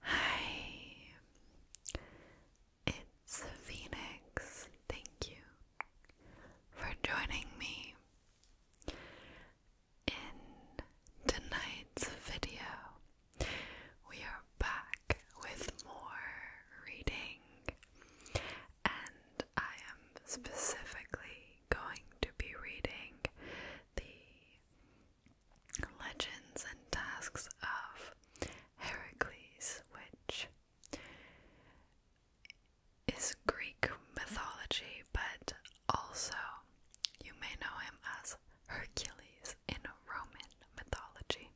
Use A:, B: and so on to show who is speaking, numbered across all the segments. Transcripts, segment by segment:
A: Hi, it's Phoenix. Thank you for joining me in tonight's video. We are back with more reading, and I am specifically going to be reading the legends and tasks of Heracles, which is Greek mythology, but also you may know him as Hercules in Roman mythology.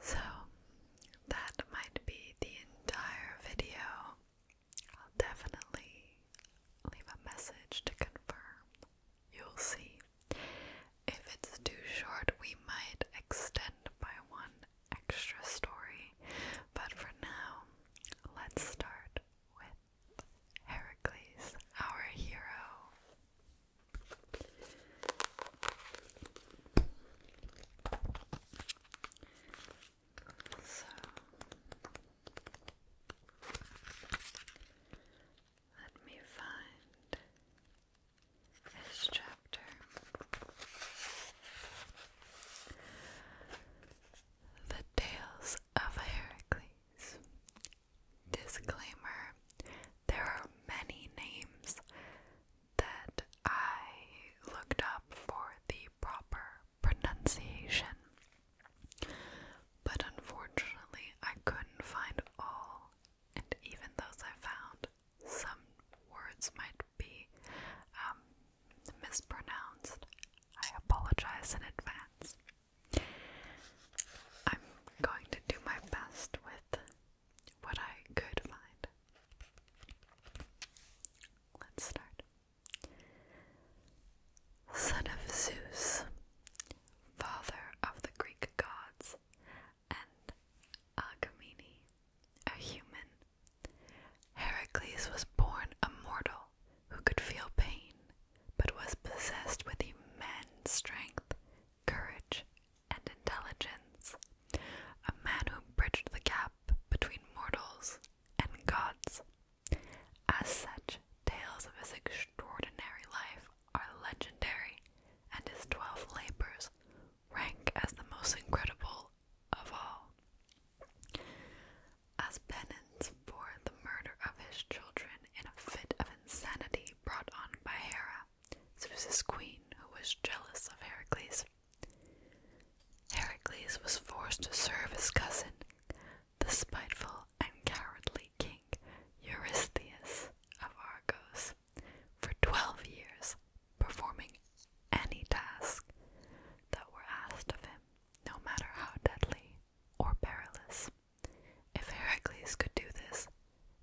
A: So that might be the entire video. I'll definitely leave a message to confirm. You'll see. If it's too short, we might extend by one extra story, but for now, let's start with Heracles, our hero. So let me find this chapter. The Tales of Heracles. Disclaimer there are many names that I looked up for the proper pronunciation. But unfortunately, I couldn't find all, and even those I found, some words might be um, mispronounced. I apologize in advance. I'm going to do my best with what I could find. Let's start. Son of Zeus, father of the Greek gods, and Agamemnon, a human, Heracles was born a mortal who could feel pain, but was possessed with immense strength, courage, and intelligence, a man who bridged the gap between mortals and gods. As such, tales of his extraordinary life are legendary, and his twelve labors rank as the most incredible of all. As penance for the murder of his children in a fit of insanity brought on by Hera, Zeus's queen, who was jealous of Heracles' Heracles was forced to serve his cousin, the spiteful and cowardly king Eurystheus of Argos, for twelve years, performing any task that were asked of him, no matter how deadly or perilous. If Heracles could do this,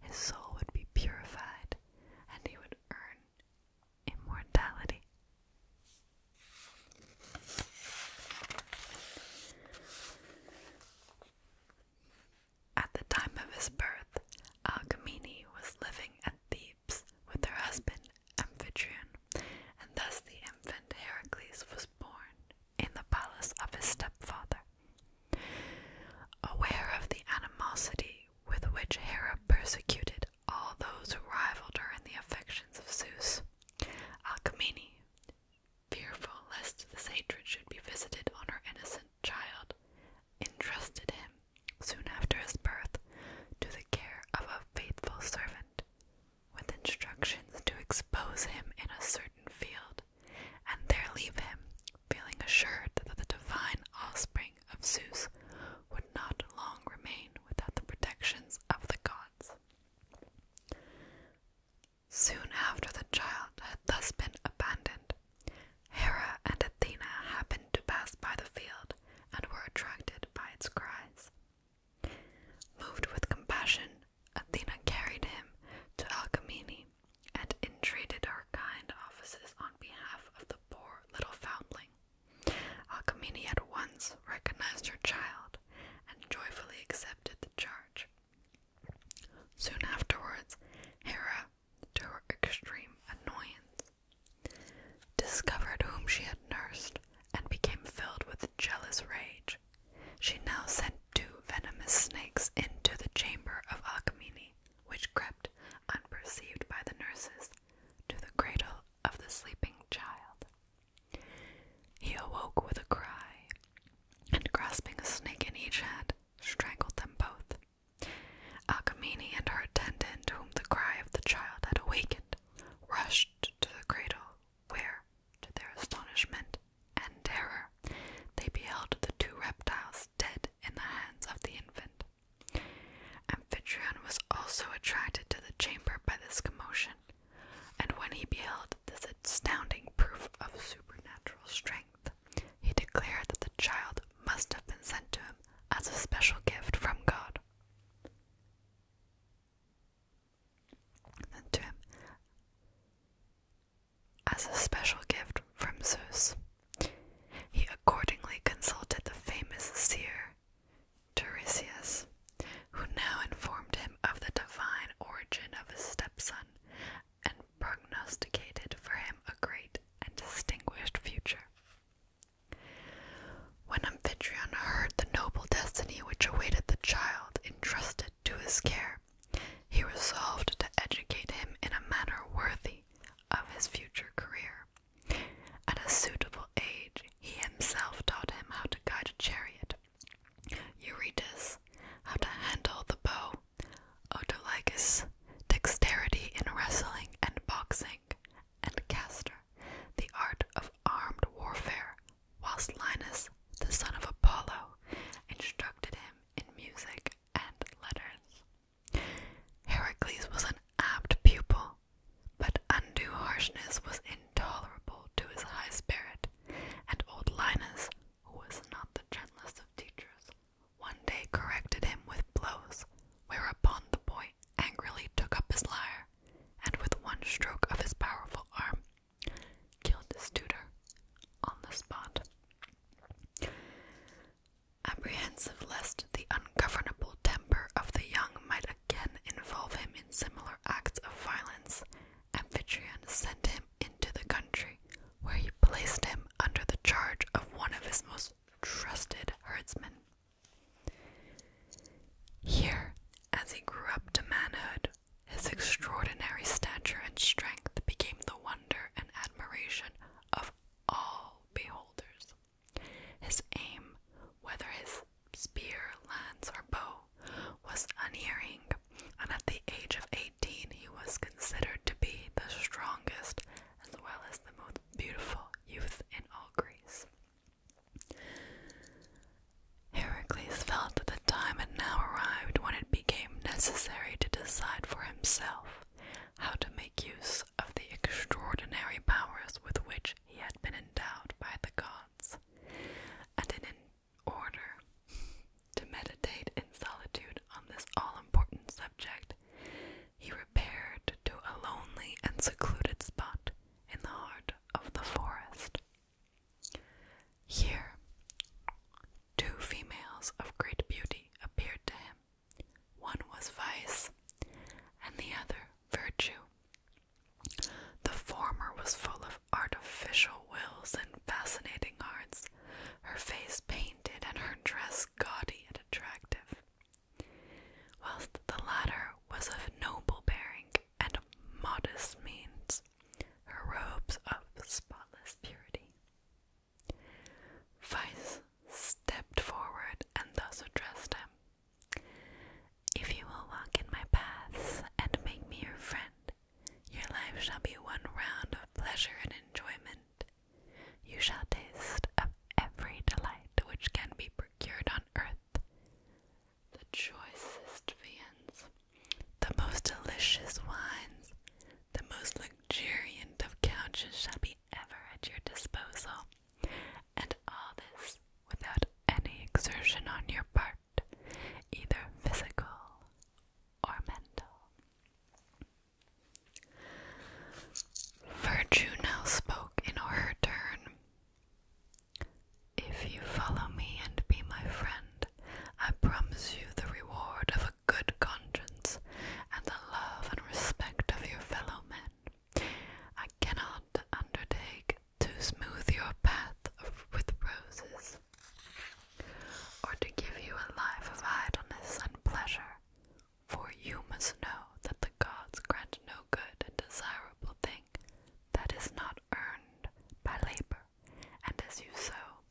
A: his soul would be purified and he would earn immortality. At the time of his birth, Alcmene was living at Thebes with her husband Amphitryon, and thus the infant Heracles was born in the palace of his stepfather. Aware of the animosity with which Hera persecuted all those who rivaled her in the affections of Zeus. Alcmene, fearful lest this hatred should be visited on her innocent child, entrusted him, soon after his birth, to the care of a faithful servant, with instructions to expose him in a certain field, and there leave him, feeling assured that the divine offspring of Zeus would not long remain without the protections of the gods. Soon after the child had thus been abandoned, Hera and Athena happened to pass by the field and were attracted by its cries. Moved with compassion, Athena carried him to Alcmene and entreated her kind offices on behalf of the poor little foundling. Alcmene at once recognized her child and joyfully accepted the charge. Soon afterwards, Hera, to her extreme annoyance, discovered whom she had nursed and became filled with jealous rage. She now sent two venomous snakes into the chamber of Alcmene, which crept unperceived by the nurses to the cradle of the sleeping child. He awoke with a cry, and grasping a snake in each hand, strangled them both. Alcmene and her attendant, whom the cry of the child had awakened, rushed to the cradle, where, to their astonishment and terror, they beheld the two reptiles dead in the hands of the infant. Amphitryon was also attracted to the chamber by this commotion, and when he beheld this astounding proof of supernatural strength, he declared that the child must have been sent to him as a special gift from God. Sent to him as a special gift from Zeus. He accordingly consulted the famous seer Tiresias, who now informed him of the divine origin of his stepson and prognosticated for him a great and distinguished future. When Amphitryon heard the noble destiny which awaited the child entrusted to his care, he resolved to educate him in a manner worthy of his future career. At a suitable age, he himself taught him how to guide a chariot, Eurytus, how to handle the bow, Autolycus, dexterity in wrestling and boxing, and Castor, the art of armed warfare, whilst Linus, the son of Apollo, instructed him in music and letters. Heracles was an apt pupil but undue harshness was intolerable to his high spirit, and old Linus, who was not the gentlest of teachers, one day corrected him with blows, whereupon the boy angrily took up his lyre, and with one stroke of his powerful arm, killed his tutor on the spot. Apprehensive lest the ungovernable temper of the young might can involve him in similar acts of violence, Amphitryon sent him into the country, where he placed him under the charge of one of his most trusted herdsmen. Here, as he grew up to manhood, his extraordinary stature and strength became the wonder and admiration of all beholders. His aim, whether his spear, lance, or bow was unerring, and at the age of 18 he was considered to be the strongest as well as the most beautiful youth in all Greece. Heracles felt that the time had now arrived when it became necessary to decide for himself how to make use of the extraordinary powers with which he had been endowed by the gods and in an order to meditate in solitude on this all-important subject he repaired to a lonely and secluded spot in the heart of the forest here two females of great beauty appeared to him one was vice and the other virtue the former was full of artificial wills and fascinating arts; her face painted and her dress gaudy and attractive, whilst the latter was of noble bearing and modest means, her robes of spotless purity. Vice stepped forward and thus addressed him if you will walk in my paths and make me your friend, your life shall be one round of pleasure and enjoyment. You shall taste of every delight which can be procured on earth. The choicest viands, the most delicious wines, the most luxuriant of couches shall be ever at your disposal, and all this without any exertion on your part either physical or mental. Virtue now spoke in her turn. If you follow me and be my friend, I promise you the reward of a good conscience and the love and respect of your fellow men. I cannot undertake to smooth your path with roses, or to give you a life of idleness and pleasure. For you must know that the gods grant no good and desirable thing that is not earned by labor, and as you sow,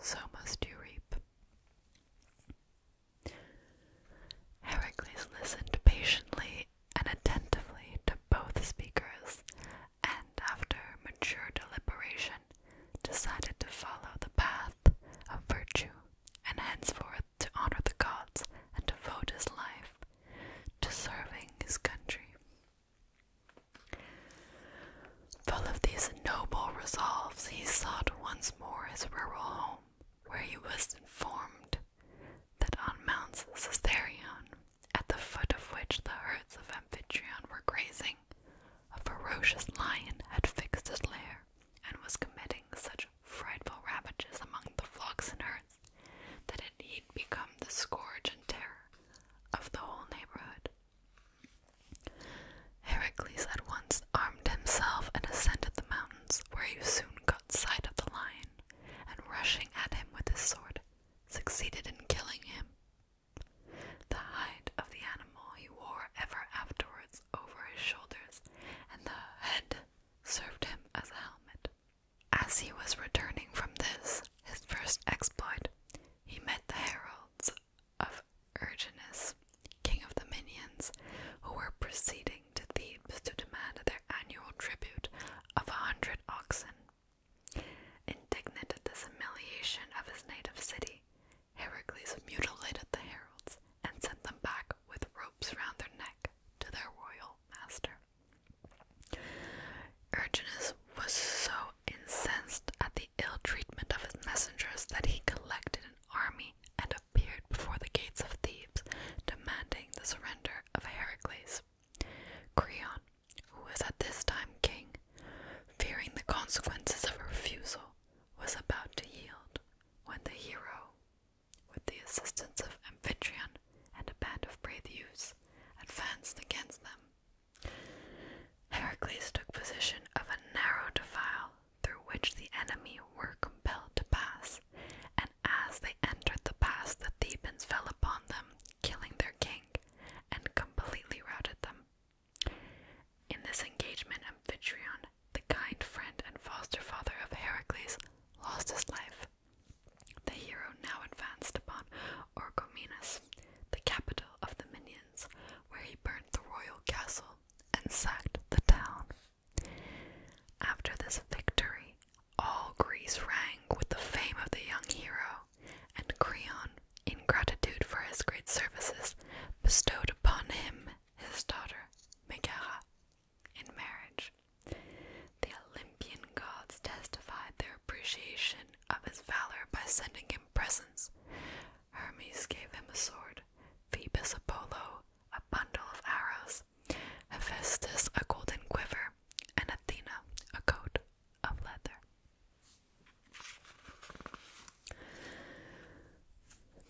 A: so must you reap. Heracles listened patiently and attentively to both speakers, and after mature deliberation, decided to follow the path of virtue, and henceforth to honor the gods and devote his life to serving his country. Full of these noble resolves, he sought once more his rural home, where he was informed that on Mount Caesarion at the foot of which the herds of Amphitryon were grazing, a ferocious lion had fixed his lair and was committing such frightful ravages among the flocks and herds that it had become the scourge and terror of the whole neighborhood. Heracles at once armed himself and ascended the mountains, where he soon caught sight of the lion, and rushing at him with his sword, succeeded in killing him. The hide of the animal he wore ever afterwards over his shoulders, and the head served him as a helmet. As he was returning from this, his first exploit, he met the heralds of Erginus, king of the Minions, who were proceeding to Thebes to demand their annual tribute of a hundred oxen. Indignant at this humiliation of his native city, Heracles mutilated the heralds and sent them back with ropes round their neck to their royal master. Urginus was so incensed at the ill treatment of his messengers that he collected an army and appeared before the gates of Thebes, demanding the surrender of Heracles. Creon, who was at this time king, fearing the consequences of refusal, was about to yield when the hero, with the assistance of Amphitryon and a band of brave youths, advanced against them. Heracles took possession of a narrow defile through which the enemy were compelled to pass, and as they entered the pass, the Thebans fell upon them, killing their king and completely routed them. In this engagement, Amphitryon, the kind friend and foster father of Heracles, lost his life. The hero now advanced upon Orchomenus, the capital of the Minyans, where he burnt the royal castle and sacked the town. After this victory, all Greece rang with the fame of the young hero, and Creon, in gratitude for his great services, bestowed upon him his daughter Megara in marriage. The Olympian gods testified their appreciation of his valor by sending him presents. Hermes gave him a sword, Phoebus Apollo a bundle of arrows, Hephaestus a golden quiver, and Athena a coat of leather.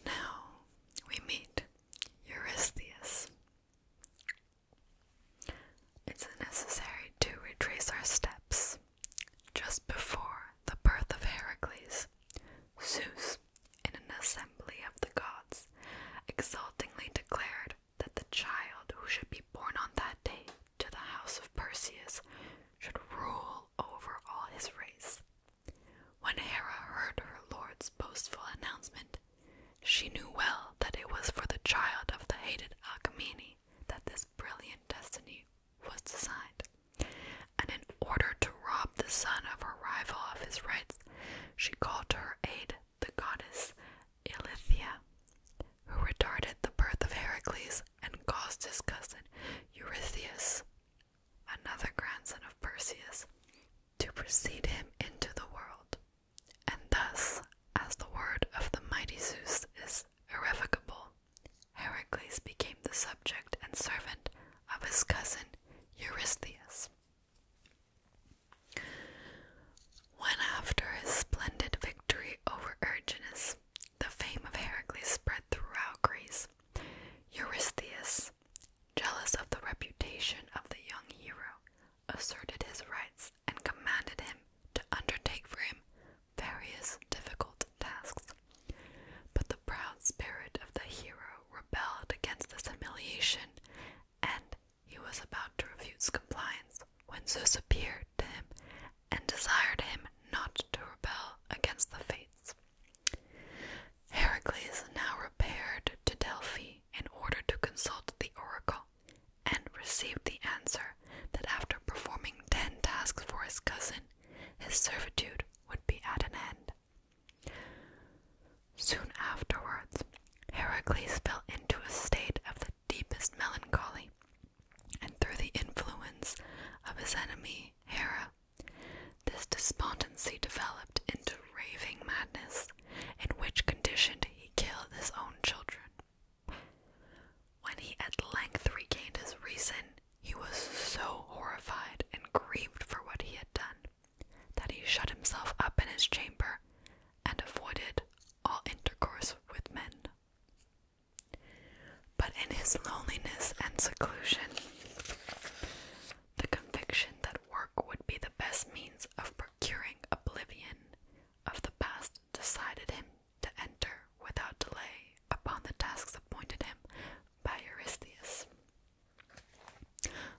A: Now we meet Eurystheus. It's necessary to retrace our steps. Just before the birth of Heracles, Zeus, in an assembly of the gods, exultingly declared that the child who should be born on that day to the house of Perseus should rule over all his race. When Hera heard her lord's boastful announcement, she knew well that it was for the child of the hated Alcmene that this brilliant destiny was designed. And in order to rob the son of her rival of his rights, she called to her aid the goddess Ilithia, who retarded the birth of Heracles and caused his cousin Eurystheus, another grandson of Perseus, to precede him into the world. And thus, as the word of the mighty Zeus is irrevocable, Heracles became the subject and servant of his cousin Eurystheus. When, after his splendid victory over Erginus, the fame of Heracles spread throughout Greece, Eurystheus, jealous of the reputation of the young hero, asserted his rights and commanded him to undertake for him various difficult tasks. But the proud spirit of the hero rebelled against this humiliation, and he was about to refuse compliance when Zeus appeared to him and desired him not to rebel against the fates. Heracles now repaired to Delphi in order to consult the oracle and received the answer that after performing ten tasks for his cousin, his servitude would be at an end. Soon afterwards, Heracles fell into a state of the deepest melancholy, and through the influence of his enemy Hera, this despondency developed into raving madness, in which condition he killed his own children. When he at length regained his reason, he was so horrified and grieved for what he had done that he shut himself up in his chamber and avoided all intercourse with men. But in his loneliness and seclusion, the conviction that work would be the best means of procuring oblivion of the past decided him to enter without delay upon the tasks appointed him by Eurystheus.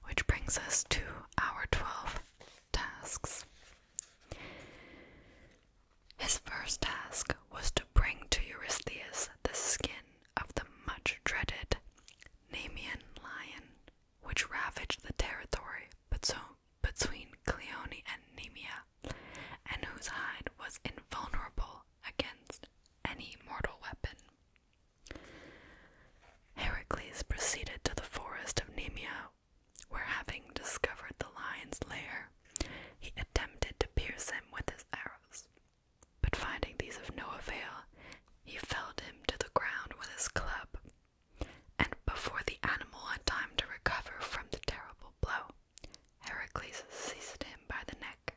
A: Which brings us to our 12 tasks. His first task was to bring to Eurystheus the skin of the much dreaded Nemean lion, which ravaged the territory between Cleone and Nemea, and whose hide was invulnerable against any mortal weapon. Heracles proceeded to the forest of Nemea where having discovered the lion's lair, he attempted to pierce him with his arrows. But finding these of no avail, he felled him to the ground with his club, and before the animal had time to recover from the terrible blow, Heracles seized him by the neck,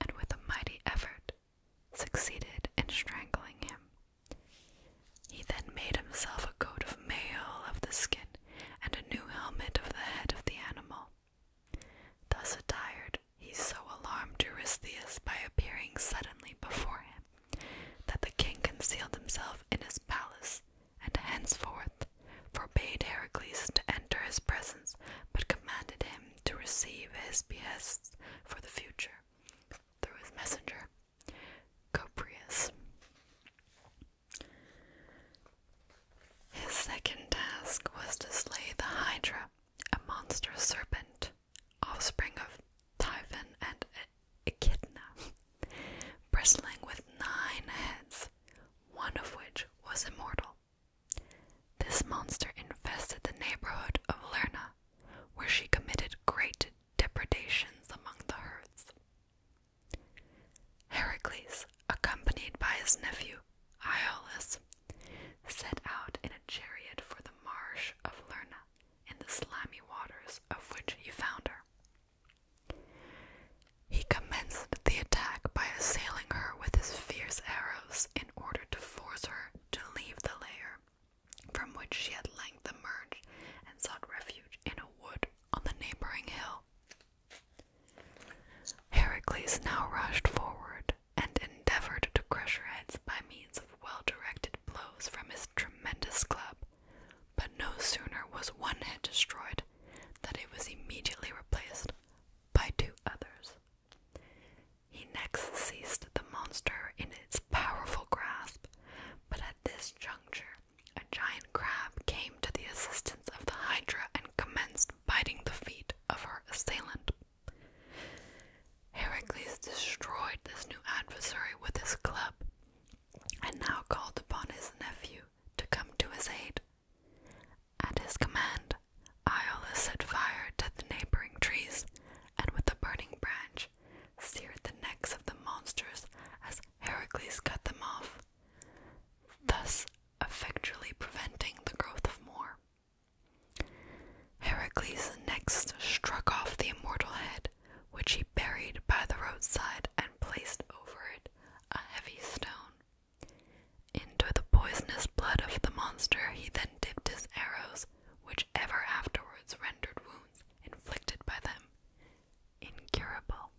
A: and with a mighty effort succeeded in strangling him. He then made himself a coat of mail of the skin and a new helmet of the head of the animal. Thus attired, he so alarmed Eurystheus by appearing suddenly before him that the king concealed himself in his palace and henceforth forbade Heracles to enter his presence but commanded him to receive his behests for the future through his messenger Coprius. His second task was to slay the Hydra, a monster serpent, offspring of Typhon and Echidna, bristling with nine heads, one of which was immortal. This monster infested the neighborhood of Lerna, where she committed great depredations among the herds. Heracles, accompanied by his nephew Iolus, set out in a chariot for the marsh of Lerna, in the slimy waters of which he found her. He commenced the attack by assailing her with his fierce arrows in order to force her to leave the lair from which she at length emerged and sought refuge in a wood on the neighboring hill. Heracles now rushed forward and endeavored to crush her heads by means of well directed blows from his tremendous club, but no sooner was one head destroyed than it was immediately replaced by two others. He next seized the monster in its powerful grasp, but at this juncture a giant crab came to the assistance of the hydra and commenced biting the feet of her assailant. Heracles destroyed this new adversary with his club and now called upon his nephew to come to his aid. At his command, Iolaus set fire to the neighboring trees and with a burning branch seared the necks of the monsters as Heracles cut them off thus effectually preventing the growth of more. Heracles next struck off the immortal head, which he buried by the roadside and placed over it a heavy stone. Into the poisonous blood of the monster he then dipped his arrows, which ever afterwards rendered wounds inflicted by them incurable.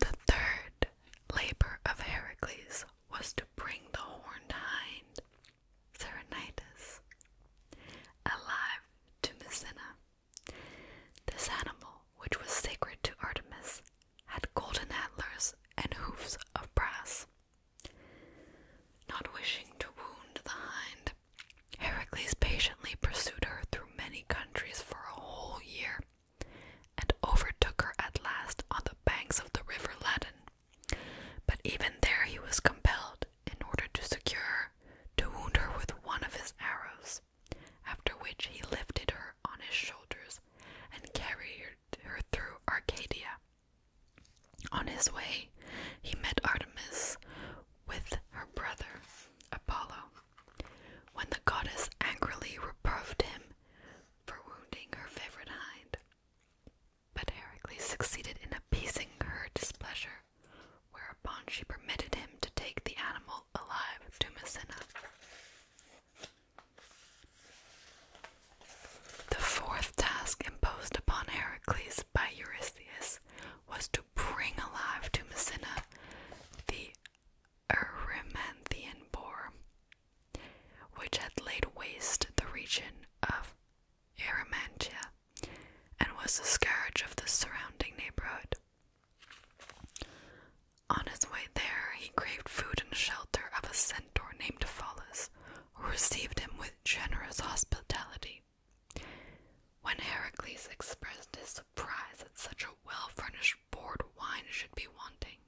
A: The third labor of Heracles was to bring the horned hind, Serenitis, alive to Messina. This animal, which was sacred to Artemis, had golden antlers and hoofs of brass. Not wishing to wound the hind, Heracles patiently pursued her through many countries for a whole year, and overtook her at last on the banks of the river Ladon. But even there he was compelled, in order to secure her, to wound her with one of his arrows, after which he lifted her on his shoulders and carried her through Arcadia. On his way, he met Artemis with her brother Apollo, when the goddess angrily reproved him for wounding her favorite hind. But Heracles succeeded in appeasing her displeasure, whereupon she permitted him to take the animal alive to Messina. The fourth task imposed upon Heracles by Eurystheus was to to bring alive to Messina the Erymanthian boar, which had laid waste the region of Erymantia and was the scourge of the surrounding neighborhood. On his way there, he craved food and shelter of a centaur named Pholus, who received him with generous hospitality. When Heracles expressed his surprise that such a well furnished board wine should be wanting,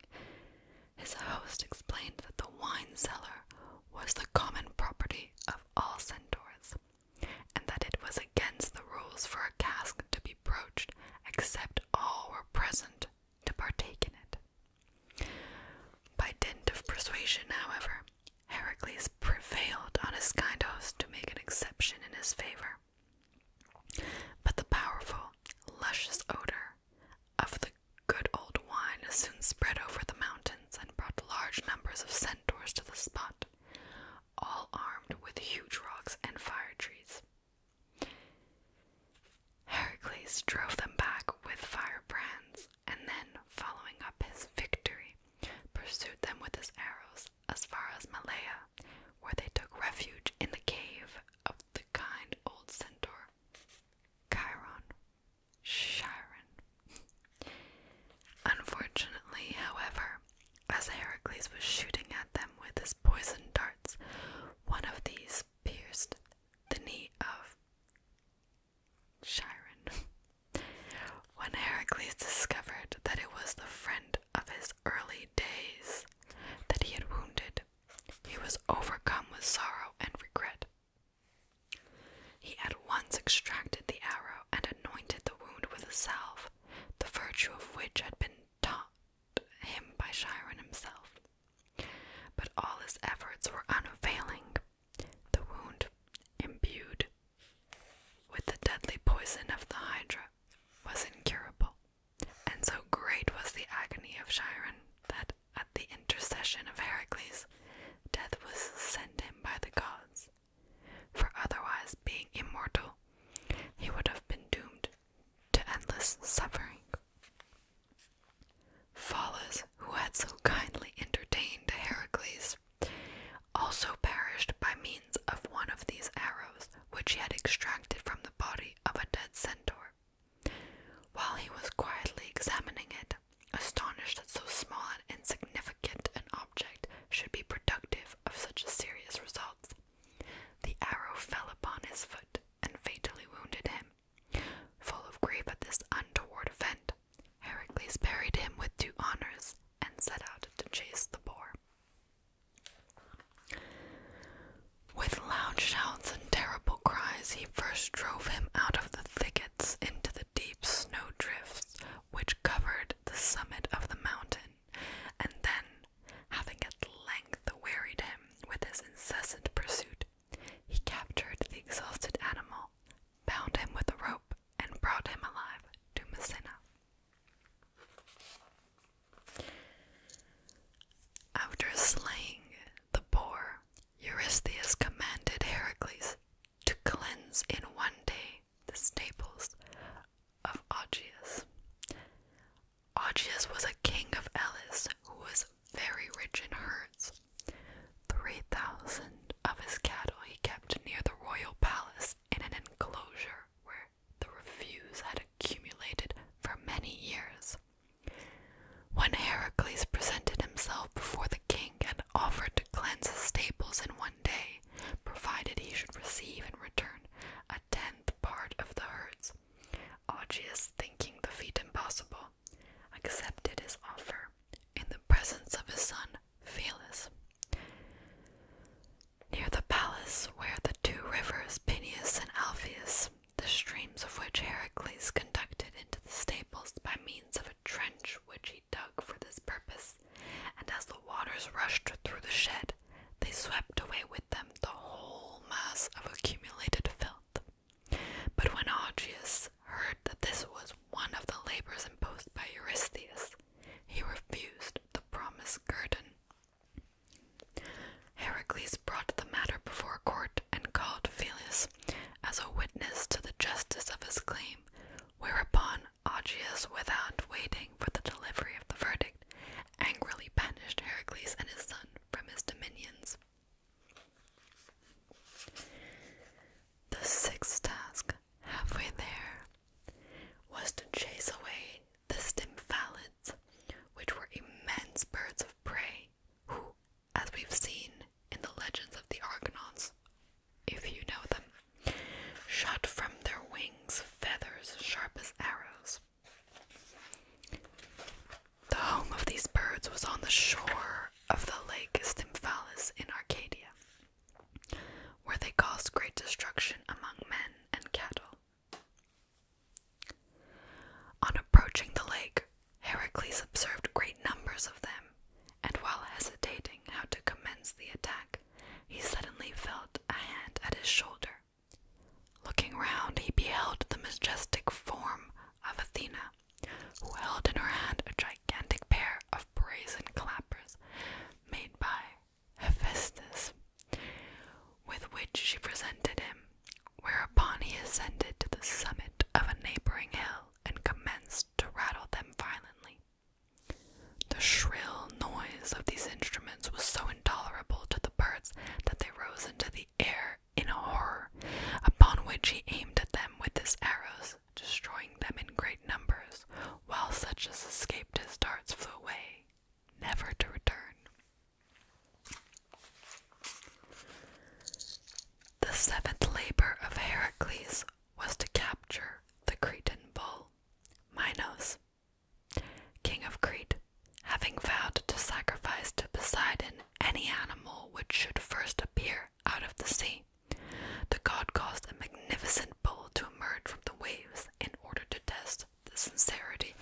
A: his host explained that the wine cellar was the common property of all centaurs, and that it was against the rules for a cask to be broached except all were present to partake in it. By dint of persuasion, however, Heracles prevailed on his kind host to make an exception in his favor. But the powerful, luscious odor of the good old wine soon spread over the mountains and brought large numbers of centaurs to the spot, all armed with huge rocks and fire trees. Heracles drove them back with firebrands, and then, following up his victory, pursued them with his arrows as far as Malaya, where they took refuge in the cave of the kind old centaur, Chiron. Chiron. Unfortunately, however, as Heracles was shooting at them with his poison darts, one of these pierced the knee of Chiron. when Heracles discovered that it was the friend of his early days that he had wounded, he was overcome with sorrow and regret. He at once extracted the arrow and anointed the wound with a salve, the virtue of which had been taught him by Chiron himself. But all his efforts were unavailing. The wound, imbued with the deadly poison of the hydra, was incurable, and so great was the agony of Chiron that at the intercession of Heracles, death was sent him by the gods. For otherwise, being immortal, he would have been doomed to endless suffering. Phallus, who had so kindly entertained Heracles, also perished by means of one of these arrows, which he had extracted from the body of a dead centaur. While he was quietly examining it, astonished that so small and insignificant an object should be productive of such serious results, the arrow fell upon his foot and fatally wounded him. Full of grief at this untoward event, Heracles buried him with due honors and set out to chase the boar. With loud shouts and terrible cries, he first drove him out of the thickets into the deep snow drifts which covered the summit of the mountain, and then, having at length wearied him with his incessant pursuit, he captured the exhausted animal, bound him with a rope, and brought him alive to Messina. After slaying the boar, Eurystheus commanded Heracles to cleanse in one day the stables of Augeas. Augeas was a king of Elis who was very rich in herds. Three thousand of his cattle he kept near the royal palace in an enclosure where the reviews had accumulated for many years. When Heracles presented himself before the king and offered to cleanse his stables in one day, provided he should receive in return a tenth part of the herds, Augeas, thinking the feat impossible, accepted his offer in the presence of his son Phelus. Near the palace where the two rivers Peneus and Alpheus, the streams of which Heracles conducted into the stables by means of a trench which he dug for this purpose, and as the waters rushed through the shed, they swept away with them the whole mass of accumulated filth. But when Augeas heard that this was one of the labors imposed by Eurystheus, he refused the promised guerdon Heracles brought the matter before court and called Phyleus as a witness to the justice of his claim, whereupon Augeas, without waiting for the delivery of the verdict, angrily banished Heracles and his son from his dominions. The sixth task, halfway there, was to chase away the Stymphalis which were immense birds of prey, who, as we've seen in the legends of the Argonauts, if you know them, shot from their wings feathers sharp as arrows. The home of these birds was on the shore of the lake Stymphalis in Arcadia, where they caused great destruction among men and cattle. On approaching the lake, Heracles observed great numbers of them, and while hesitating how to commence the attack, he suddenly felt a hand at his shoulder. Looking round, he beheld the majestic form of Athena, who held in her hand a gigantic pair of brazen clappers made by Hephaestus, with which she presented him, whereupon he ascended to the summit of a neighboring hill and commenced to rattle them violently. The shrill noise of these instruments was so intolerable to the birds that they rose into the air in horror, upon which he aimed at them with his arrows, destroying them in great numbers, while such as escaped his darts flew away never to return. The seventh labor of Heracles was to capture the Cretan bull, Minos. King of Crete, having vowed to sacrifice to Poseidon any animal which should first appear out of the sea, the god caused a magnificent bull to emerge from the waves in order to test the sincerity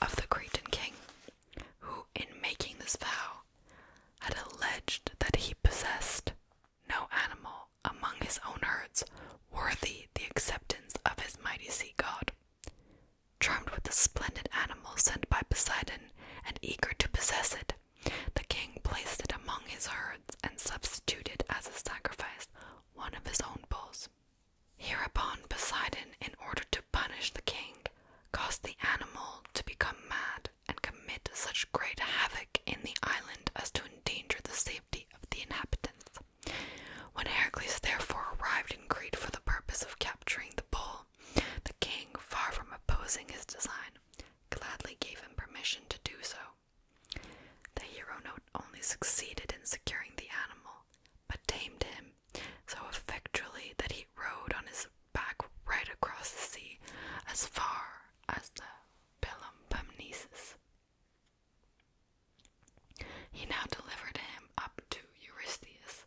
A: of the Cretan king, who, in making this vow, had alleged that he possessed no animal among his own herds worthy the acceptance of his mighty sea god. Charmed with the splendid animal sent by Poseidon and eager to possess it, the king placed it among his herds and substituted as a sacrifice one of his own bulls. Hereupon, Poseidon, in order to punish the king, caused the animal to become mad and commit such great havoc in the island as to endanger the safety of the inhabitants. When Heracles therefore arrived in Crete for the purpose of capturing the bull, the king, far from opposing his design, gladly gave him permission to do so. The hero not only succeeded in securing the animal, but tamed him so effectually that he rode on his back right across the sea as far as the Peloponnesus. He now delivered him up to Eurystheus,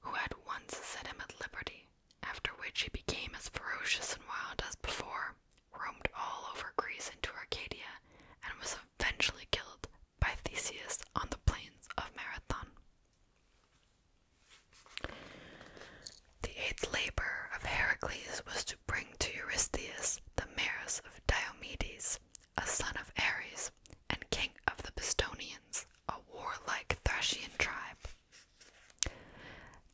A: who had once set him at liberty, after which he became as ferocious and wild as before, roamed all over Greece into Arcadia, and was eventually killed by Theseus on the plains of Marathon. The eighth labor of Heracles was to bring to Eurystheus the mares of Diomedes, a son of Ares, and king of the Bistonians, a warlike Thracian tribe.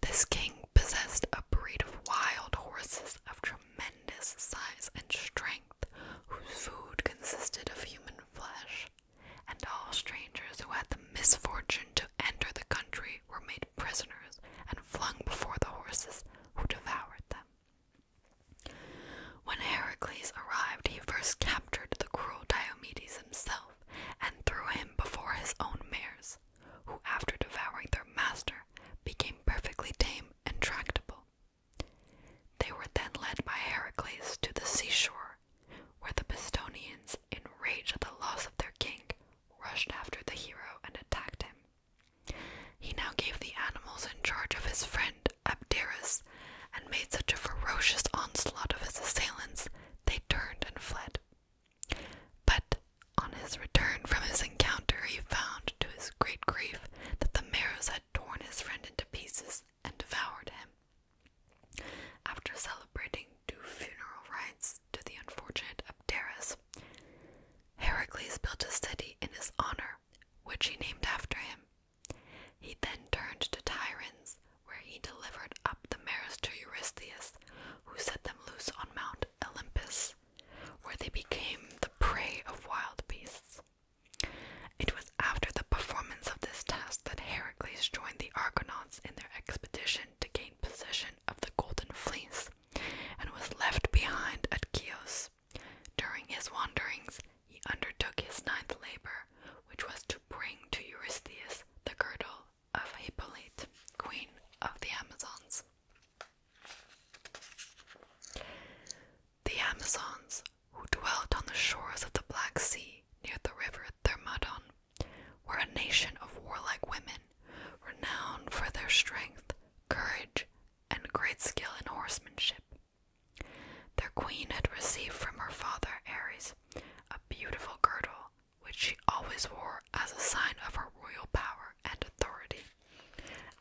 A: This king possessed a breed of wild horses of tremendous size and strength whose food consisted of human flesh, and all strangers who had the misfortune to enter the country were made prisoners and flung before the horses, who devoured them. When Heracles arrived, he first captured the cruel Diomedes himself and threw him before his own mares, who, after devouring their master, became perfectly tame and tractable. They were then led by Heracles to the seashore, where the Pistonians, enraged at the loss of their king, rushed after the hero and attacked him. He now gave the animals in charge of his friend Abderus and made such a ferocious onslaught of his assailants they turned and fled. But on his return from his encounter, he found to his great grief that the Maros had torn his friend turned into pieces and devoured him. After celebrating two funeral rites to the unfortunate Abderus, Heracles built a city in his honor, which he named after him. He then turned to tyrants, where he delivered up the mares to Eurystheus, who set them loose on Mount Olympus, where they became the prey of wild beasts. It was after the performance of this task that Heracles joined the Argonauts in their expedition to gain possession of the Golden Fleece and was left behind at Chios. During his wanderings, he undertook his ninth labor, which was to bring to Eurystheus the girdle of Hippolyte, queen of the Amazons. The Amazons who dwelt on the shores of the Black Sea near the river Thermodon, were a nation of warlike women, renowned for their strength, courage, and great skill in horsemanship. Their queen had received from her father Ares a beautiful girdle, which she always wore as a sign of her royal power and authority,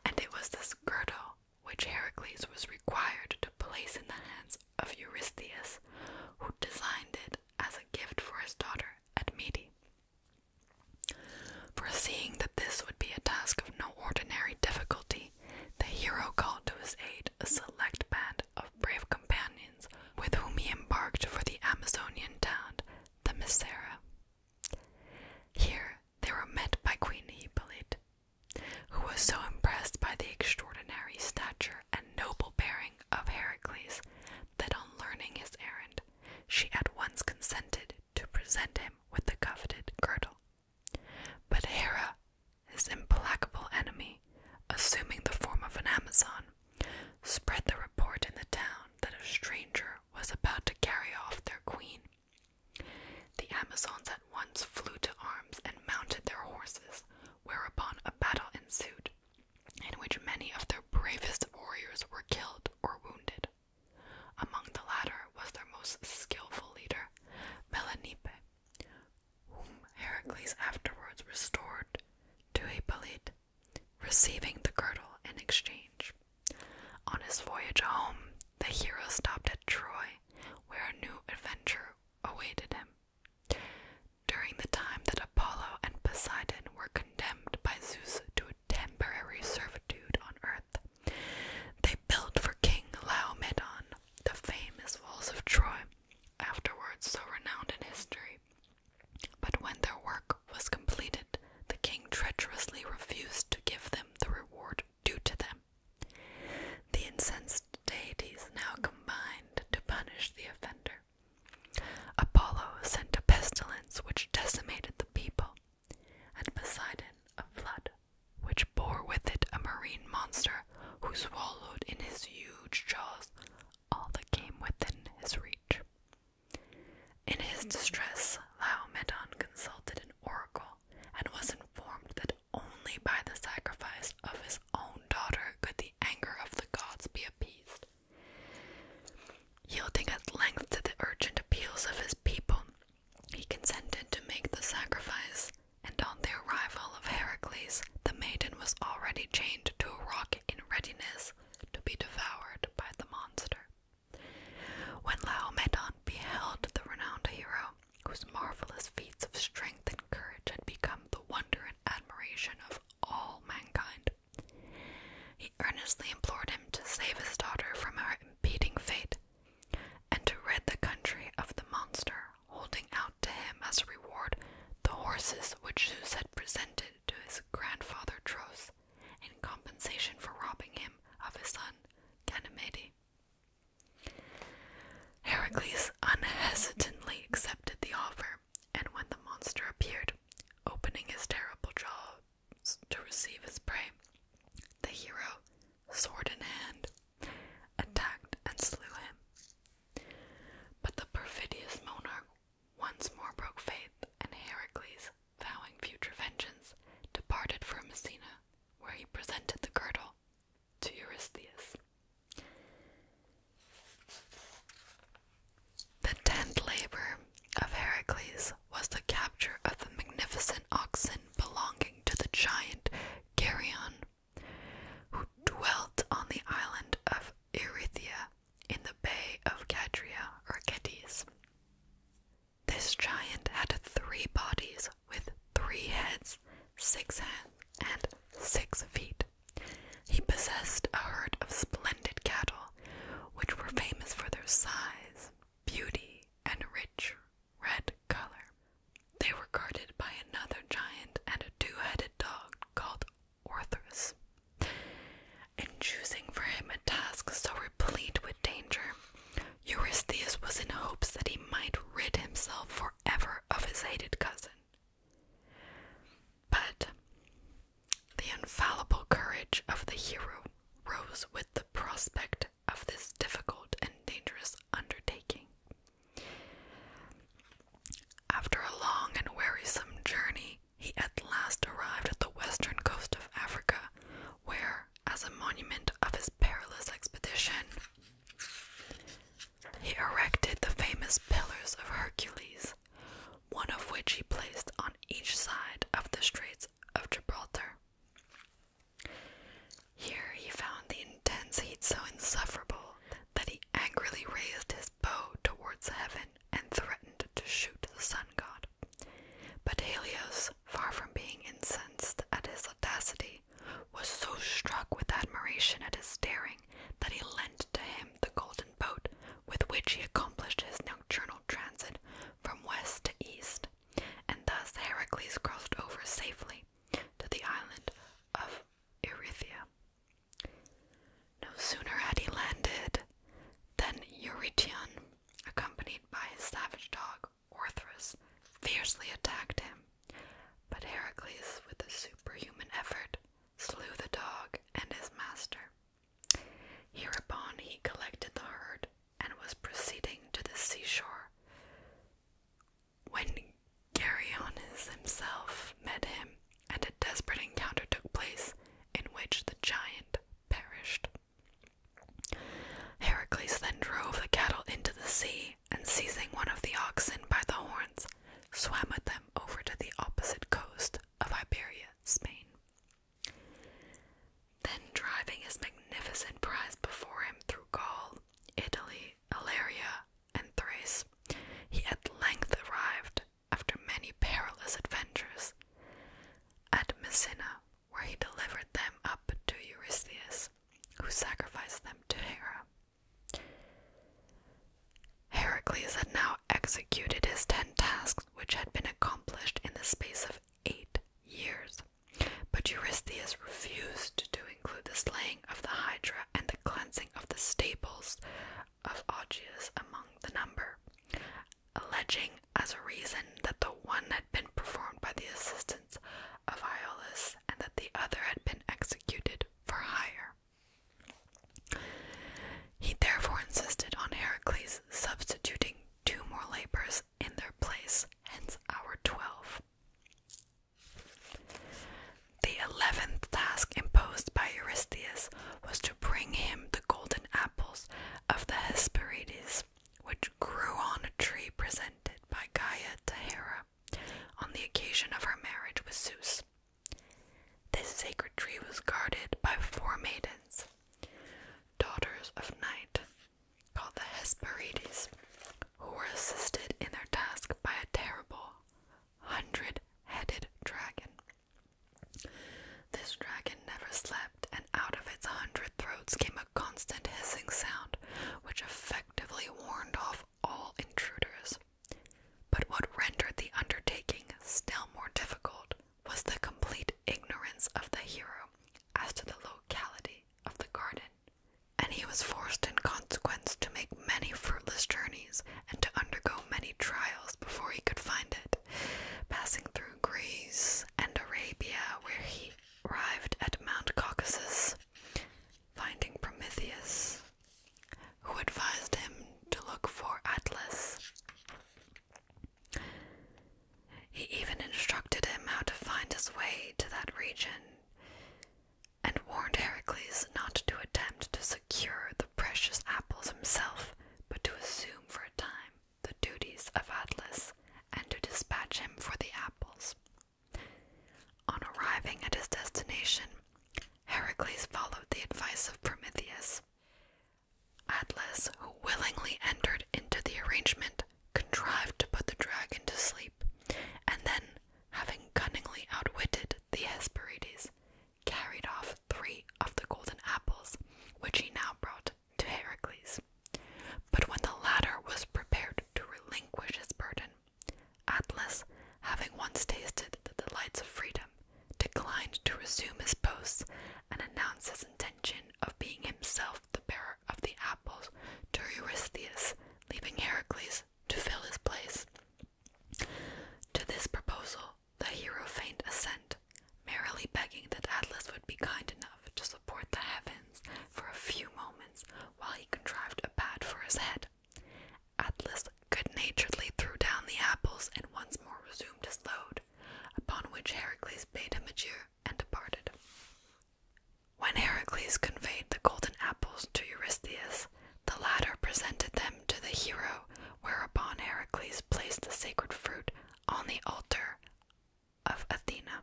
A: and it was this girdle which Heracles was required to place in the hands of Eurystheus, who designed it as a gift for his daughter Admete. Foreseeing that this would be a task of no ordinary difficulty, the hero called to his aid a select band of brave companions with whom he embarked for the Amazonian town, the Misera. Here they were met by Queen Hippolyte, who was so impressed by the extraordinary stature and noble bearing of Heracles that on learning his errand, she at once consented to present him with the coveted girdle. But Hera, his implacable enemy, assuming the form of an Amazon, spread the report in the town that a stranger was about to carry off their queen the Amazons at once flew to arms and mounted their horses, whereupon a battle ensued, in which many of their bravest warriors were killed or wounded. Among the latter was their most skillful leader, Melanippe, whom Heracles afterwards restored to Hippolyte, receiving the girdle in exchange. On his voyage home, the hero stopped at Troy, where a new adventure awaited him. During the time that Apollo and Poseidon were condemned by Zeus to a temporary servitude on Earth, they built for King Laomedon the famous walls of Troy, afterwards so renowned in history. But when their work was completed, the king treacherously refused to give them the reward do to them. The incensed deities now combined to punish the offender. Apollo sent a pestilence which decimated the people, and Poseidon a flood, which bore with it a marine monster who swallowed in his huge jaws all that came within his reach. In his distress, Laomedon consulted an oracle and was informed that only by the sacrifice of his own daughter could the anger of the gods be appeased. Yielding at length to the urgent appeals of his people, he consented to make the sacrifice, and on the arrival of Heracles, the maiden was already chained to a rock in readiness to be devoured by the monster. When Laomedon beheld the renowned hero, whose marvelous feats of strength and courage had become the wonder and admiration of all mankind. He earnestly implored him to save his daughter from her impending fate and to rid the country of the monster, holding out to him as a reward the horses which Zeus had presented to his grandfather Tros in compensation for robbing him of his son Ganymede. Heracles unhesitatingly accepted the offer, and when the monster appeared, opening his terrible jaws to receive his prey, the hero, sword in hand, attacked and slew him. But the perfidious monarch once more broke faith, and Heracles, vowing future vengeance, departed for Messina, where he presented the girdle to Eurystheus. The tenth labor of Heracles was the capture of the magnificent oxen belonging to the giant Geryon, who dwelt on the island of Erythia in the bay of Cadria or Cadiz. This giant had three bodies with three heads, six hands, and six feet. He possessed a herd of splendid cattle, which were famous for their size, beauty, and rich red color. They were guarded by another giant and a two headed dog called Orthus. In choosing for him a task so replete with danger, Eurystheus was in hopes that he might rid himself forever of his hated cousin. But the infallible courage of the hero rose with the prospect of this difficult and dangerous undertaking. After a long and wearisome journey, he at last arrived at the western coast of Africa, where, as a monument of his perilous expedition, he erected the famous Pillars of Hercules, one of which he placed on each side of the Straits of Gibraltar. Here he found the intense heat so insufferable that he angrily raised his bow towards heaven and threatened to shoot the sun god. But Helios, far from being incensed at his audacity, was so struck with admiration at his daring that he lent to him the golden boat with which he accomplished his nocturnal transit from west to east, and thus Heracles crossed over safely to the island of Erythia. No sooner had he landed than Eurytion, accompanied by his savage dog, Orthrus fiercely attacked him, but Heracles, with a superhuman effort, slew the dog and his master. Hereupon he collected the herd and was proceeding to the seashore when Geryonis himself met him, and a desperate encounter took place in which the giant perished. Heracles then drove the cattle into the sea and seizing one of the oxen by the horns, swam with them over to the opposite coast of Iberia, Spain. Then, driving his magnificent prize before him through Gaul, Italy, Illyria, and Thrace, he at length arrived, after many perilous adventures, at Messina, where he delivered them up to Eurystheus, who sacrificed them to Hera. Heracles had now executed his ten tasks, which had been accomplished in the space of eight years. But Eurystheus refused to include the slaying of the Hydra and the cleansing of the stables of Augeas among the number, alleging as a reason that the one had been performed by the assistance of Iolus and that the other had been executed for hire. He therefore insisted on Heracles substituting two more labors in their place, hence our twelve. The eleventh task imposed by Eurystheus was to bring him the golden apples of the Hesperides, which grew on a tree presented by Gaia to Hera on the occasion of her marriage with Zeus. This sacred tree was guarded by four maidens, daughters of night, called the Hesperides, who were assisted in their task by a terrible hundred headed dragon. This dragon never slept, and out of its hundred throats came a constant hissing sound, which effectively warned off all intruders. But what rendered the undertaking still more difficult was the complete ignorance of the hero as to the locality of the garden, and he was forced in consequence to make many fruitless journeys and to undergo many trials before he could find it, passing through Greece and Arabia, where he arrived at Mount Caucasus, finding Prometheus, who advised him to look for Atlas. He even instructed him how to find his way to that region and warned Heracles not to attempt to secure the precious apples himself, but to assume for a time the duties of Atlas and to dispatch him for the apples. On arriving at his destination, Heracles followed the advice of Prometheus. Atlas, who willingly entered into the arrangement, contrived to put the dragon to sleep, and then, having cunningly outwitted the Hesperides, carried off three of the golden apples, which he now brought to Heracles. But when the latter was prepared to relinquish his burden, Atlas, having once tasted the delights of freedom, declined to resume his posts and announced his intention of being himself the bearer of the apples to Eurystheus, leaving Heracles to fill his place. To this proposal, the hero feigned assent, merrily begging that Atlas would be kind enough to support the heavens for a few moments while he contrived a pad for his head. Atlas good-naturedly threw down the apples and once more resumed his load, upon which Heracles bade him adieu and departed. When Heracles conveyed the golden apples to Eurystheus, the latter presented them to the hero, whereupon Heracles placed the sacred fruit on the altar of Athena,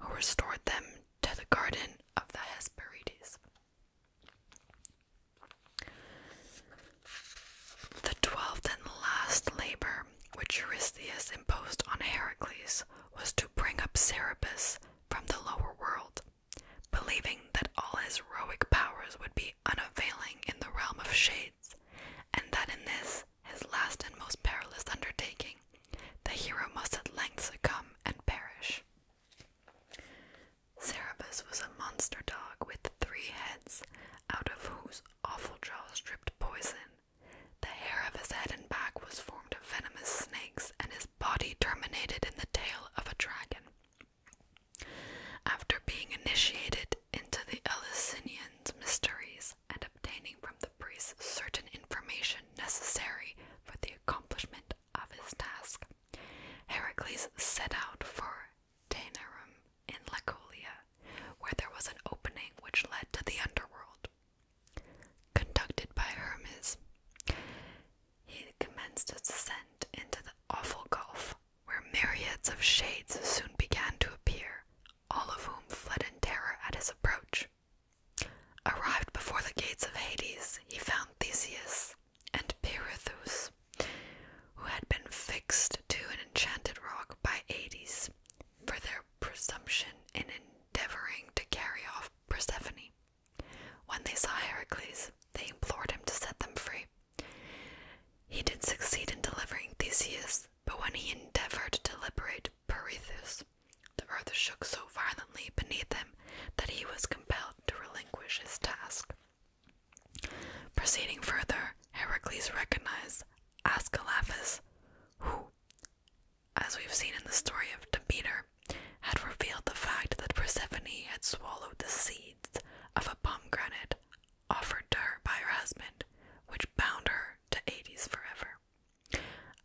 A: who restored them to the garden of the Hesperides. The twelfth and last labor which Eurystheus imposed on Heracles was to bring up Serapis from the lower world, believing that all his heroic powers would be unavailing in the realm of shades, and that in this, his last and most perilous undertaking, the hero must at length succumb and perish. Cerberus was a monster dog with three heads, out of whose awful jaws dripped poison. The hair of his head and back was formed of venomous snakes, and his body terminated in the tail of a dragon. After being initiated into the Eleusinian's mysteries and obtaining from the priests certain information necessary for the accomplishment of his task, Heracles set out for Tainarum in Lacolia, where there was an opening which led to the underworld. Conducted by Hermes, he commenced his descent into the awful gulf, where myriads of shades soon began to appear, all of whom fled in terror at his approach. Arrived before the gates of Hades, he found Theseus and Pirithous, who had been fixed to an enchanted rock by Hades for their presumption in endeavoring to carry off Persephone. When they saw Heracles, they implored him to set them free. He did succeed in delivering Theseus, but when he endeavored to liberate Pirithous, the earth shook so violently beneath him that he was compelled to relinquish his task. Proceeding further, Heracles recognized Ascalaphus, who, as we've seen in the story of Demeter, had revealed the fact that Persephone had swallowed the seeds of a pomegranate offered to her by her husband, which bound her to Hades forever.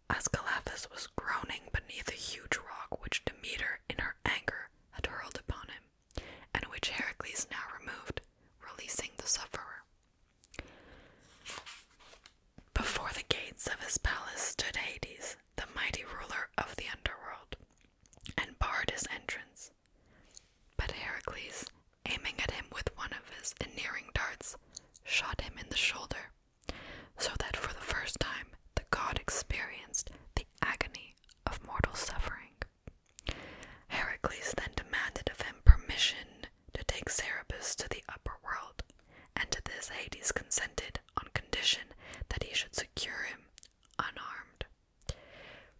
A: Ascalaphus was groaning beneath a huge rock which Demeter, in her anger had hurled upon him, and which Heracles now removed, releasing the sufferer. Before the gates of his palace stood Hades, the mighty ruler of the underworld, and barred his entrance. But Heracles, aiming at him with one of his ennearing darts, shot him in the shoulder, so that for the first time the god experienced the agony of mortal suffering. Heracles then demanded of him permission to take Serapis to the upper world, and to this Hades consented on condition that he should secure him unarmed.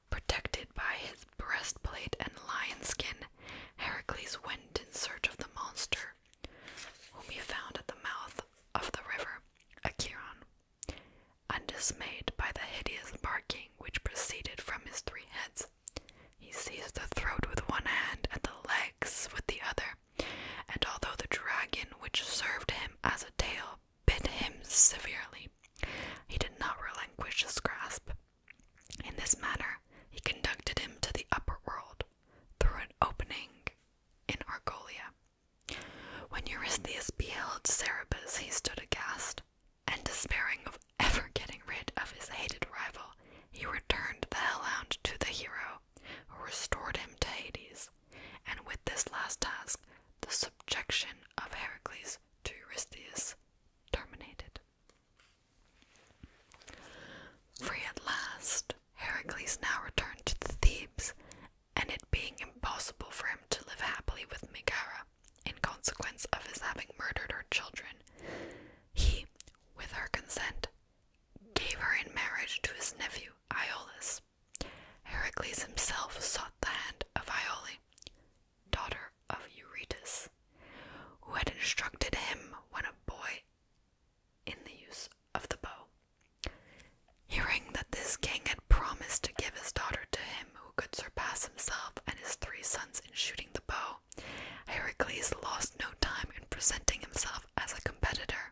A: Protected by his breastplate and lion skin, Heracles went in search of the monster, whom he found at the mouth of the river Acheron. Undismayed by the hideous barking which proceeded from his three heads, he seized the throat with one hand and the legs with the other, and although the dragon which served him as a tail bit him severely, he did not relinquish his grasp. In this manner, he conducted him to the upper world through an opening in Argolia. When Eurystheus beheld Serapis, he stood aghast, and despairing of ever getting rid of his hated rival, he returned the hellhound to the hero, who restored him to Hades, and with this last task, the subjection of Heracles to Eurystheus terminated. Free at last, Heracles now returned to Thebes and it being impossible for him to live happily with Megara in consequence of his having murdered her children, he, with her consent, gave her in marriage to his nephew Iolus. Heracles himself sought the hand of Iole, daughter of Eurytus, who had instructed him when a boy in the use of the bow. Hearing that this king had promised to give his daughter to him who could surpass himself and his three sons in shooting the bow, Heracles lost no time in presenting himself as a competitor.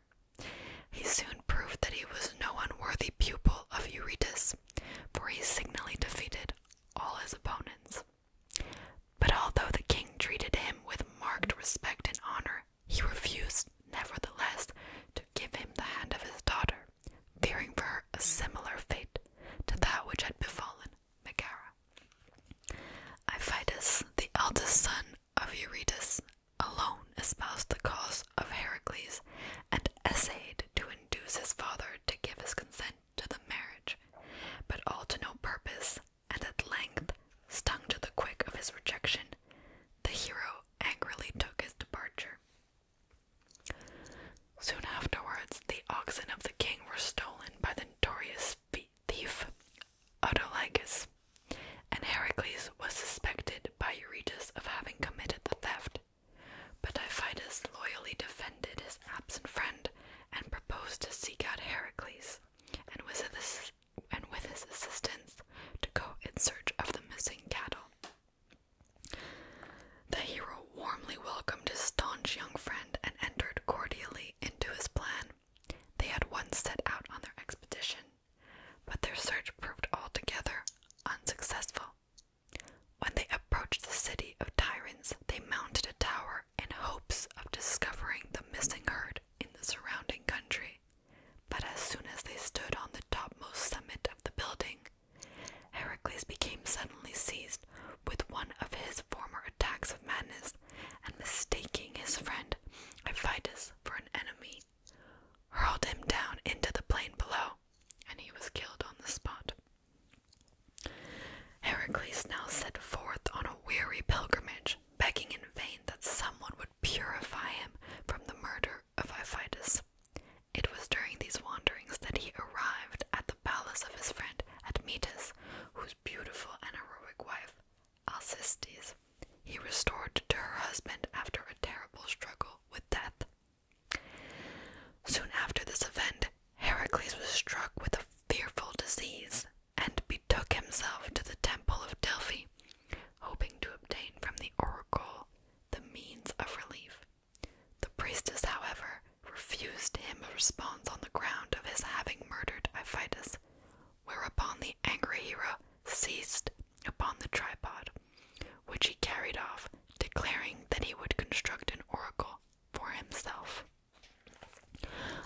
A: He soon proved that he was no unworthy pupil of Eurytus, for he signally defeated all his opponents. But although the king treated him with marked respect and honor, he refused, nevertheless, to give him the hand of his daughter, fearing for her a similar fate to that which had befallen Megara. Iphitus, the eldest son of Eurytus, alone espoused the cause of Heracles and essayed to induce his father to give his consent to the marriage, but all to no purpose, and at length, stung to the quick of his rejection, the hero angrily took his departure. Soon afterwards, the oxen of the king were stolen by the notorious thief Autolycus, and Heracles was suspected by Eurytus of having committed the theft. But Iphitus loyally defended his absent friend and proposed to seek out Heracles, and with his, and with his assistance to go in search of the missing cattle. The hero warmly welcomed his staunch young friend and entered cordially into his plan. They had once set out on their expedition, but their search proved altogether unsuccessful. When they approached the city of Tyrants, they mounted a tower in hopes of discovering the missing herd in the surrounding country. But as soon as they stood on the topmost summit of the building, Heracles became suddenly seized with one of his former attacks of madness, and mistaking his friend Iphitus for an enemy, hurled him down into the plain below, and he was killed on the spot. Heracles now set forth on a weary pilgrimage, begging in vain that someone would purify him from the murder of Iphitus. It was during these wanderings that he arrived at the palace of his friend Admetus, whose beautiful and heroic wife, Alcestis, he restored to her husband after a terrible struggle with death. Soon after this event, Heracles was struck with a fearful disease and betook himself to the temple of Delphi, hoping to obtain from the oracle the means of relief. The priestess, however, refused him a response on the ground of his having murdered Iphitus, whereupon the angry hero seized upon the tripod, which he carried off, declaring that he would construct an oracle for himself.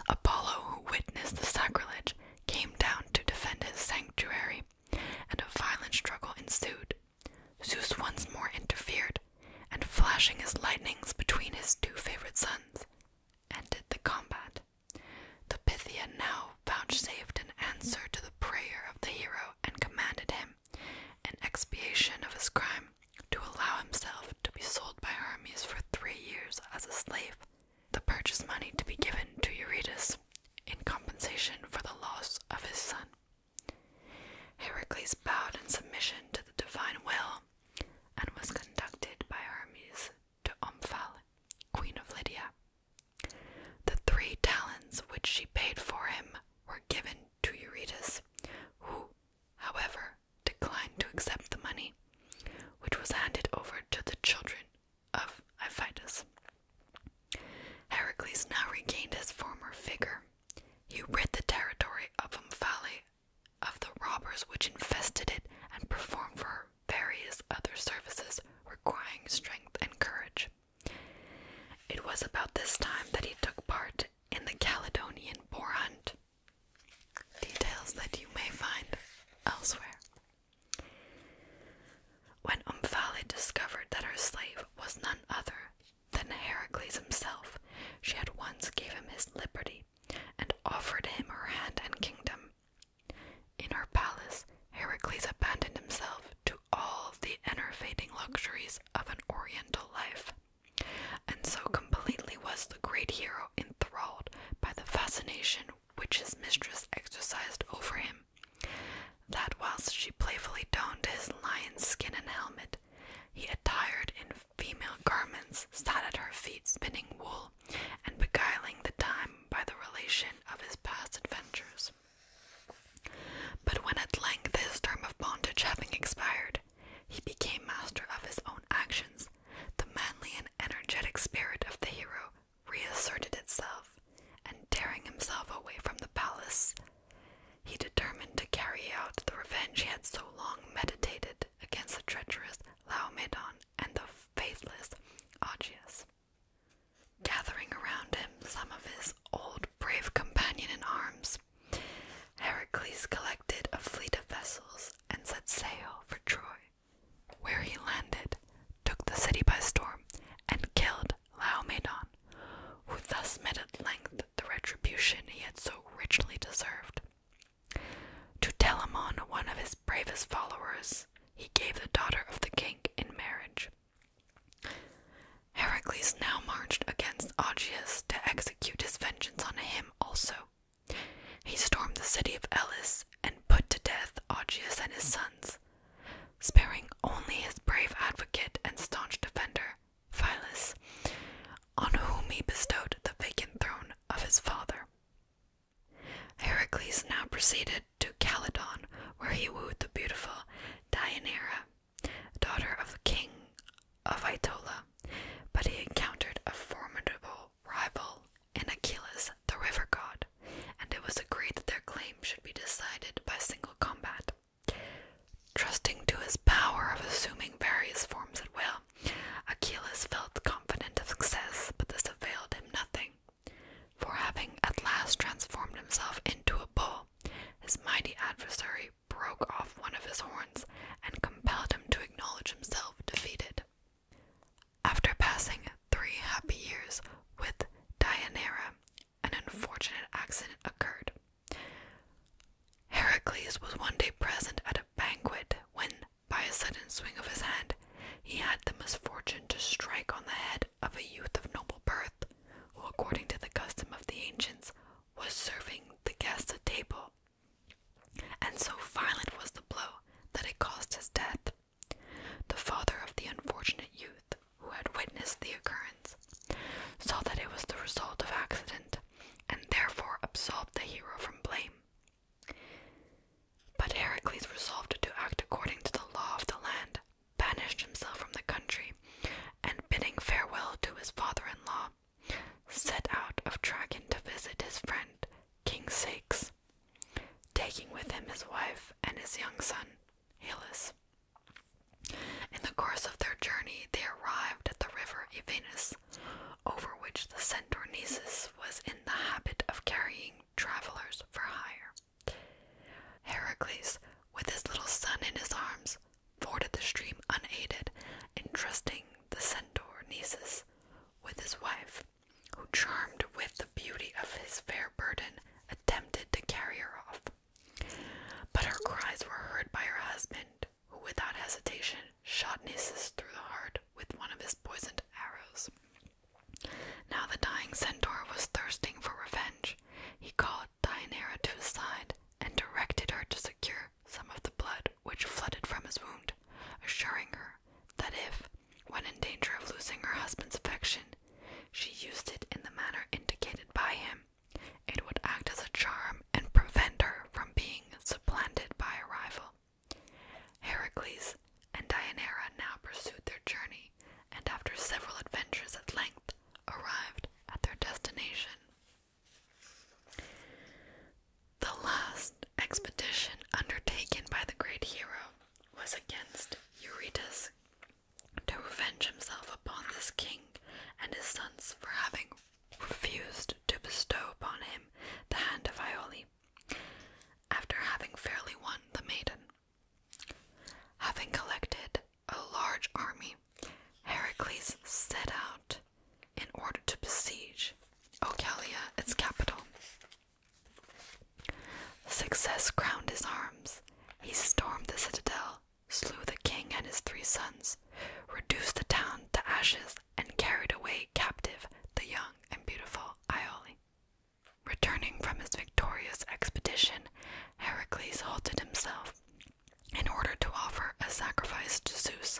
A: Apollo, who witnessed the sacrilege, came down to defend his sanctuary, and a violent struggle ensued. Zeus once more interfered, and flashing his lightnings between his two favorite sons, ended the combat. The Pythian now vouchsafed an answer to the prayer of the hero and commanded him, in expiation of his crime, to allow himself to be sold by Hermes for three years as a slave, the purchase money to be given to Eurytus in compensation for the loss of his son. Heracles bowed in submission to the divine will and was conducted by Hermes to Omphale, queen of Lydia. The three talents which she paid for him were given to Eurytus, who, however, declined to accept the money, which was handed over to the children of Iphitus. Heracles now regained his former figure. He rid the territory of Omphale of the robbers which infested it and performed for her various other services requiring strength and courage. It was about this time that he took part in the Caledonian boar hunt, details that you may find elsewhere when Omphale discovered that her slave was none other than Heracles himself, she at once gave him his liberty and offered him her hand and kingdom. In her palace, Heracles abandoned himself to all the enervating luxuries of an oriental life, and so completely was the great hero enthralled by the fascination which his mistress exercised over him that whilst she playfully donned his lion's skin and helmet, he, attired in female garments, sat at her feet spinning wool and beguiling the time by the relation of his past adventures. But when at length his term of bondage having expired, he became master of his own actions, the manly and energetic spirit of the hero reasserted itself, and tearing himself away from the palace, he determined to carry out the revenge he had so long meditated against the treacherous Laomedon and the faithless Augeas. Gathering around him some of his old brave companion in arms, Heracles collected a fleet of vessels and set sail for Troy, where he landed, took the city by storm, and killed Laomedon, who thus met at length the retribution he had so richly deserved. To Telamon, one of his bravest followers, he gave the daughter of the king in marriage. Heracles now marched against Augeas to execute his vengeance on him also. He stormed the city of Elis and put to death Augeas and his sons, sparing only his brave advocate and staunch defender, Philus, on whom he bestowed the vacant throne of his father. Heracles now proceeded to Calydon, where he wooed the beautiful Deianira, daughter of the king of Aetola, but he encountered a formidable rival in Achilles, the river god, and it was agreed that their claim should be decided by single combat. Trusting to his power of assuming various forms at will, Achilles felt confident of success, but this availed him nothing. For having at last transformed himself into a bull, his mighty adversary broke off one of his horns and compelled him to acknowledge himself defeated. After passing three happy years with Dianera, an unfortunate accident occurred. Heracles was one day present at a banquet when, by a sudden swing of his hand, he had the misfortune to strike on the head of a youth of noble birth, who, according to the custom of the ancients, was serving the guests at table. And so violent was the blow that it caused his death. The father of the unfortunate youth who had witnessed the occurrence, saw that it was the result of accident and therefore absolved the hero from blame. But Heracles resolved to act according to the law of the land, banished himself from the country, and bidding farewell to his father in law, set out of Trajan to visit his friend King Sakes, taking with him his wife and his young son. Halus. In the course of their journey, they arrived at the river Evenus, over which the centaur Centaurnesus was in the habit of carrying travelers for hire. Heracles, with his little son in his arms, forded the stream unaided, entrusting the centaur Centaurnesus with his wife, who, charmed with the beauty of his fair burden, attempted to carry her off. But her cries were heard by her husband, who without hesitation shot Nisus through the heart with one of his poisoned arrows. Now the dying centaur was thirsting for revenge. He called Dianera to his side and directed her to secure some of the blood which flooded from his wound, assuring her that if, when in danger of losing her husband's affection, she used it in the manner indicated by him, it would act as a charm and prevent her from being supplanted by a rival. Heracles and Deianira now pursued their journey and, after several adventures, at length arrived at their destination. The last expedition undertaken by the great hero was against Eurytus, to revenge himself upon this king and his sons for having refused to bestow upon him the hand of Iole, after having fairly won the maiden. Having collected a large army, Heracles set out in order to besiege Ocalia, its capital. Success crowned his arms. He stormed the citadel slew the king and his three sons, reduced the town to ashes, and carried away captive the young and beautiful Iole. Returning from his victorious expedition, Heracles halted himself in order to offer a sacrifice to Zeus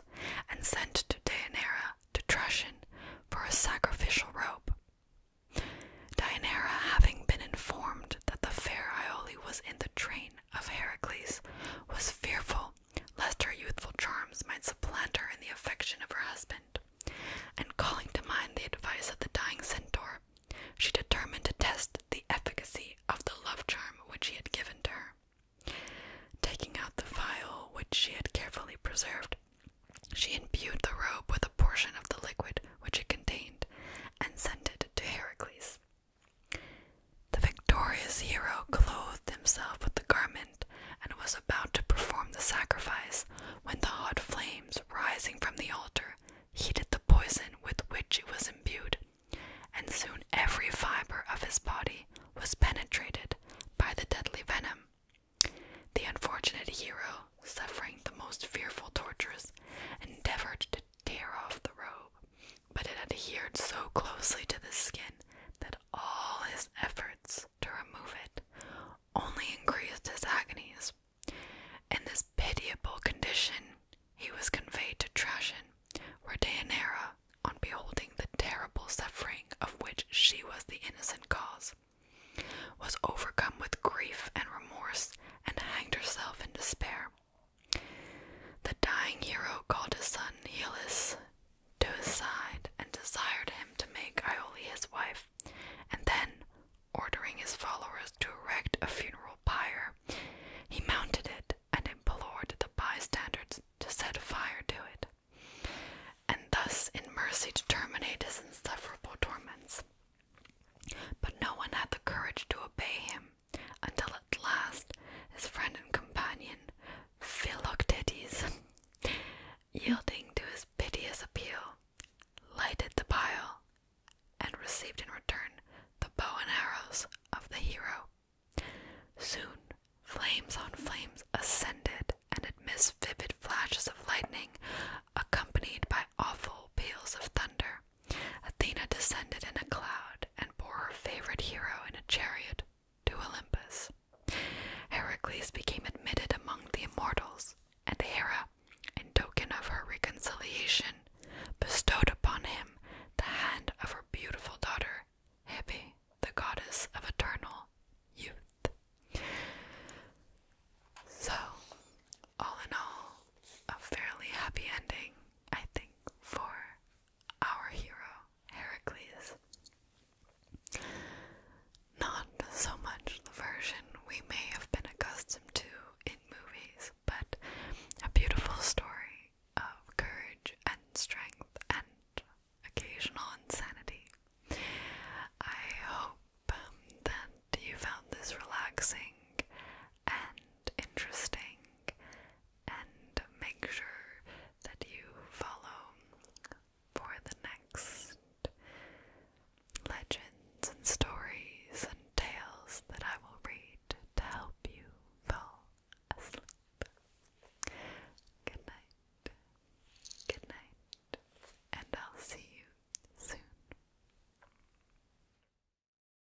A: and sent to Deianira to Trucian for a sacrificial rope. Deianira, having been informed that the fair Iole was in the train of Heracles, was fearful lest her youthful charms might supplant her in the affection of her husband. And calling to mind the advice of the dying centaur, she determined to test the efficacy of the love charm which he had given to her. Taking out the phial which she had carefully preserved, she imbued the robe with a portion of the liquid which it contained and sent it to Heracles. The victorious hero clothed himself with the garment and was about to perform the sacrifice when the hot flames rising from the altar heated the poison with which it was imbued, and soon every fiber of his body was penetrated by the deadly venom. The unfortunate hero, suffering the most fearful tortures, endeavored to tear off the robe but it adhered so closely to the skin that all his efforts to remove it only increased his agonies. In this pitiable condition, he was conveyed to Trashan, where Deianira, on beholding the terrible suffering of which she was the innocent cause, was overcome with grief and remorse and hanged herself in despair. The dying hero called his son Iulus to his side and desired him to make Iole his wife, and then, ordering his followers to erect a funeral pyre, he mounted it and implored the bystanders to set fire to it, and thus in mercy to terminate his insufferable torments. But no one had the courage to obey him, until at last his friend and companion, Philoctetes, yielding to his piteous appeal, lighted the pile and received in return the bow and arrows of the hero. Soon, flames on flames ascended, and amidst vivid flashes of lightning, accompanied by awful peals of thunder, Athena descended in a cloud and bore her favorite hero in a chariot to Olympus. Heracles became admitted among the immortals, and Hera, in token of her reconciliation, bestowed upon him the hand of her beautiful daughter, Hippie, the goddess of eternal youth. So, all in all, a fairly happy ending, I think, for our hero, Heracles. Not so much the version we may have been accustomed to in movies, but a beautiful story of courage and strength and occasional insanity. I hope um, that you found this relaxing and interesting, and make sure that you follow for the next legends and stories and tales that I will read to help you fall asleep. Good night, good night, and I'll see you soon.